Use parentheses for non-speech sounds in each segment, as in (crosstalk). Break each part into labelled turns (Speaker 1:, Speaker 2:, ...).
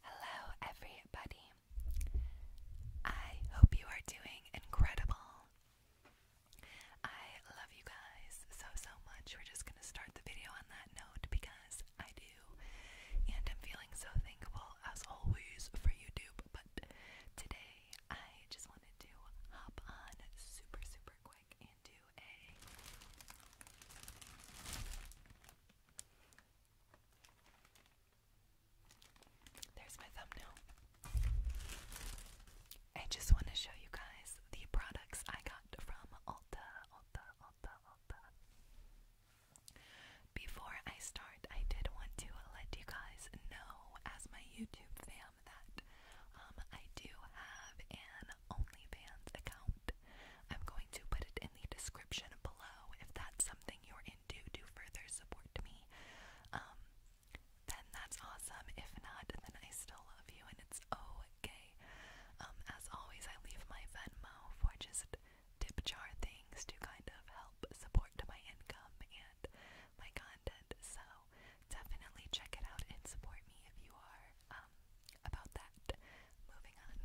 Speaker 1: Hello, everybody. I hope you are doing incredible. I love you guys so, so much. We're just going to start the video on that note because I do. And I'm feeling so thankful, as always, for YouTube. But today, I just wanted to hop on super, super quick there's my thumbnail. I just want to show you guys the products I got from Ulta, Ulta, Ulta, Ulta. Before I start, I did want to let you guys know, as my YouTube fam, that um, I do have an OnlyFans account. I'm going to put it in the description below if that's something you're into to further support me. Um, then that's awesome. If not, then I still love you and it's okay. Um, as always, I leave my Venmo for just tip jar things to kind of help support my income and my content. So definitely check it out and support me if you are um, about that. Moving on.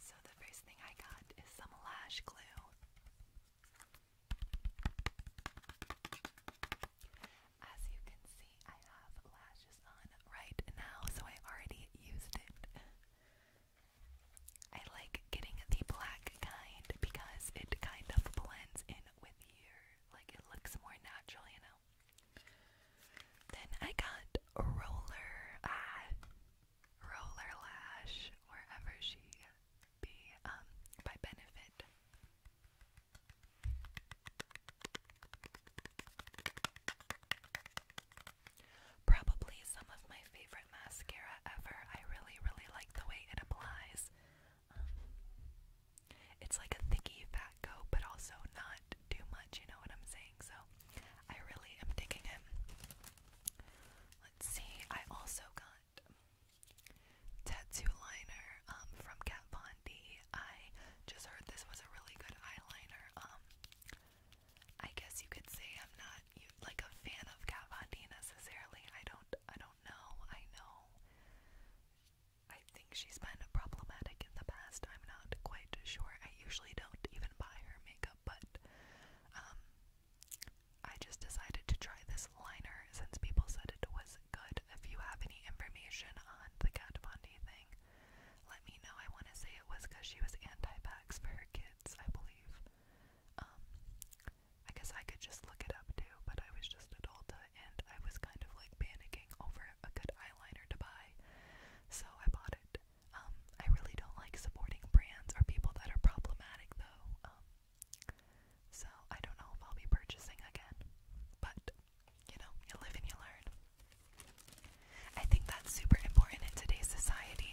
Speaker 1: so, the first thing I got is some lash glue. As you can see, I have lashes on right now, so I already used it. I like getting the black kind because it kind of blends in with your like it looks more natural, you know. Then I got a roller uh, roller lash wherever she be um, by benefit. Probably some of my favorite mascara ever. I really, really like the way it applies. Um, it's like a thicky fat coat, but also not too much, you know what I'm saying? So I really am digging him. Let's see, I also got tattoo liner um, from Kat Von D. I just heard this was a really good eyeliner. Um, I guess you could say I'm not like a fan of Kat Von D necessarily. I don't, I don't know. I know I think she's been problematic in the past. I'm not quite sure. I usually don't even buy her makeup, but um, I just decided to try this liner since people said it was good. If you have any information on the Kat Von D thing, let me know. I want to say it was because she was anti-vax for her kids, I believe. Um, I guess I could just look it up too, but I was just at Ulta and I was kind of like panicking over a good eyeliner to buy, so I bought it. Um, I really don't like supporting brands or people that are problematic though, um, so I don't know if I'll be purchasing again, but you know, you live and you learn. I think that's super important in today's society.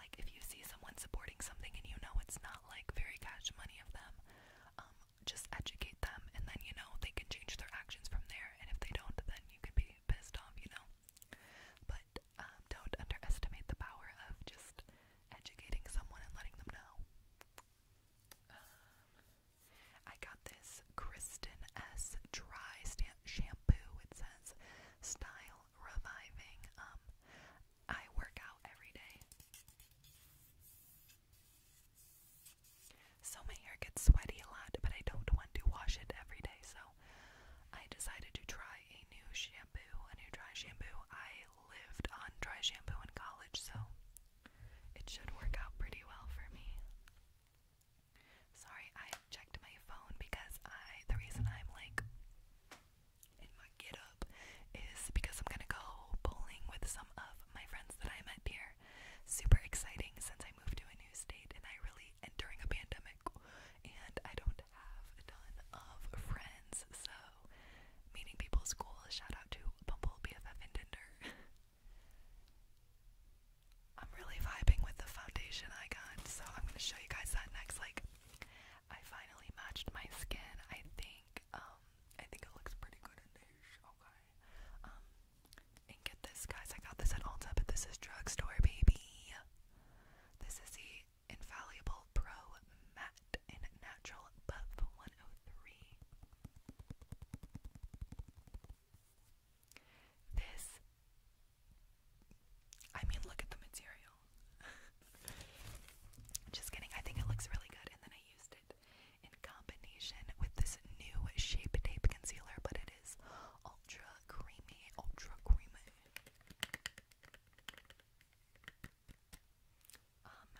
Speaker 1: Like, if you see someone supporting something and you know it's not like very cash money of them, um, just educate them, and then you know they can change their actions from there. And if they don't, then you can be pissed off, you know. But um, don't underestimate the power of just educating someone and letting them know. Um, I got this Kristen S. Dry Shampoo. It says style reviving. Um, I work out every day. So my hair gets sweaty a lot, but I don't want to wash it every day, so I decided to try a new shampoo, a new dry shampoo. I lived on dry shampoo in college, so it should work out pretty well for me. Sorry, I checked my phone because I the reason I'm like my get up is because I'm gonna go bowling with some of my friends that I met here. Super exciting since I moved to a new state and I really and during a pandemic and I don't have a ton of friends, so meeting people is cool. Shout out to Bumble BFF and Tinder. (laughs) I'm really vibing with the foundation I got, so I'm gonna show you guys that next. Like I finally matched my skin. I think um, I think it looks pretty good in this. Okay. Um, and get this, guys. I got this at Ulta, but this is drugstore, baby. This is the Infallible Pro Matte in Natural Buff 103. This. I mean, look at the material. (laughs) Just kidding, I think it looks really good, and then I used it in combination with this new Shape Tape Concealer, but it is ultra creamy, ultra creamy. Um,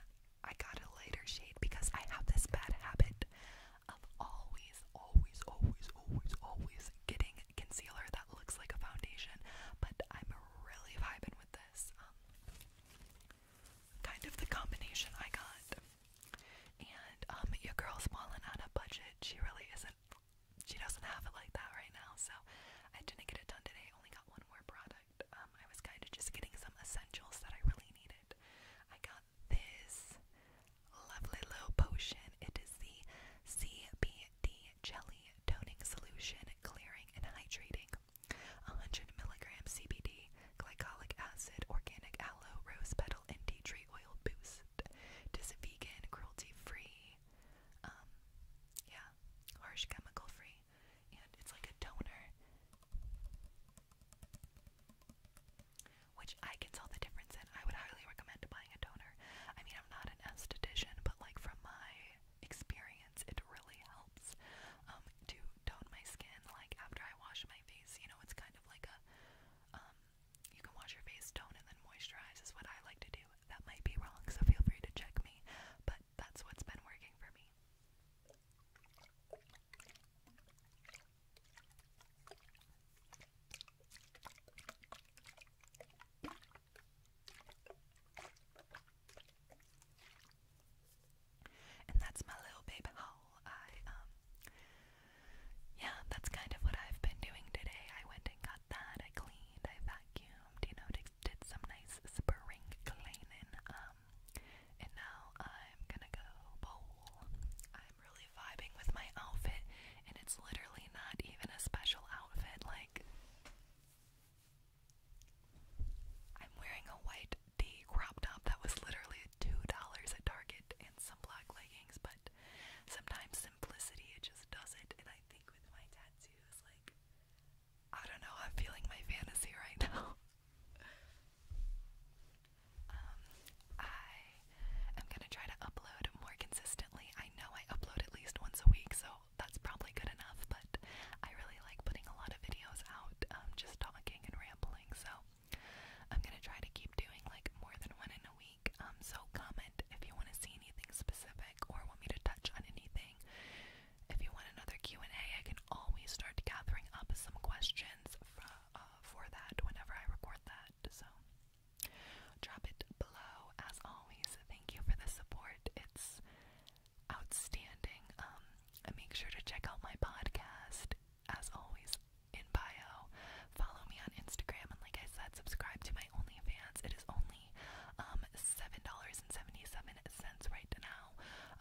Speaker 1: I got a lighter shade because I have this bad habit of always, always, always, always, always getting concealer that looks like a foundation, but I'm really vibing with this. Um, kind of the combination I got. And um, your girl's falling on a budget. She really isn't. She doesn't have it like that right now. So I didn't get it done today. Only got one more product. Um, I was kind of just getting some essentials that I really needed. I got this lovely little potion. It is the CBD Jelly Toning Solution, Clearing and Hydrating 100 mg CBD, glycolic acid, organic aloe, rose petal, and tea tree oil boost. Just vegan, cruelty free, um, yeah, harsh chemical free, and it's like a toner. Which I can tell the difference in. I would highly recommend buying a toner. I mean, I'm not an esthetician, but like from my experience. It really helps um, to tone my skin. Like after I wash my face, you know, it's kind of like a um, you can wash your face, tone, and then moisturize is what I like to do. That might be wrong, so feel free to check me. But that's what's been working for me. And that's my little babe howl. I um yeah, that's kind of what I've been doing today. I went and got that. I cleaned, I vacuumed, you know, did some nice spring cleaning. Um and now I'm gonna go bowl. I'm really vibing with my outfit and it's literally not even a special outfit like I'm wearing a white D crop top that was literally $2 at Target and some black leggings, but sometimes simplicity, it just does it. And I think with my tattoos, like, I don't know, I'm feeling my fantasy right (laughs) now. Um, I am gonna try to upload more consistently. I know I upload at least once a week, so that's probably good enough, but I really like putting a lot of videos out um, just talking and rambling, so I'm gonna try to keep doing like more than one in a week. Um, so comment if you want to see anything specific or want me to touch on anything. If you want another Q&A, I can always start gathering up some questions for, uh, for that whenever I record that, so drop it below. As always, thank you for the support. It's outstanding. Um, make sure to check out my podcast, as always, in bio. Follow me on Instagram, and like I said, subscribe to my OnlyFans. It is only um, $7.77 right now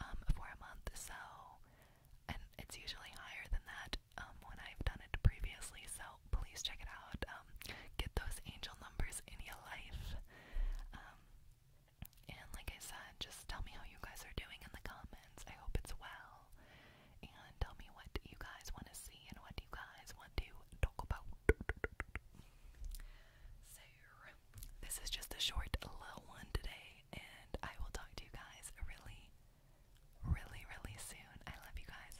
Speaker 1: um, for a month, so. And it's usually higher than that when I've done it previously, so please check it out. Um, get those angel numbers in your life. Um, and like I said, just tell me how you guys are doing in the comments. I hope it's well. And tell me what you guys want to see and what you guys want to talk about. So, this is just a short little one today, and I will talk to you guys really, really, really soon. I love you guys.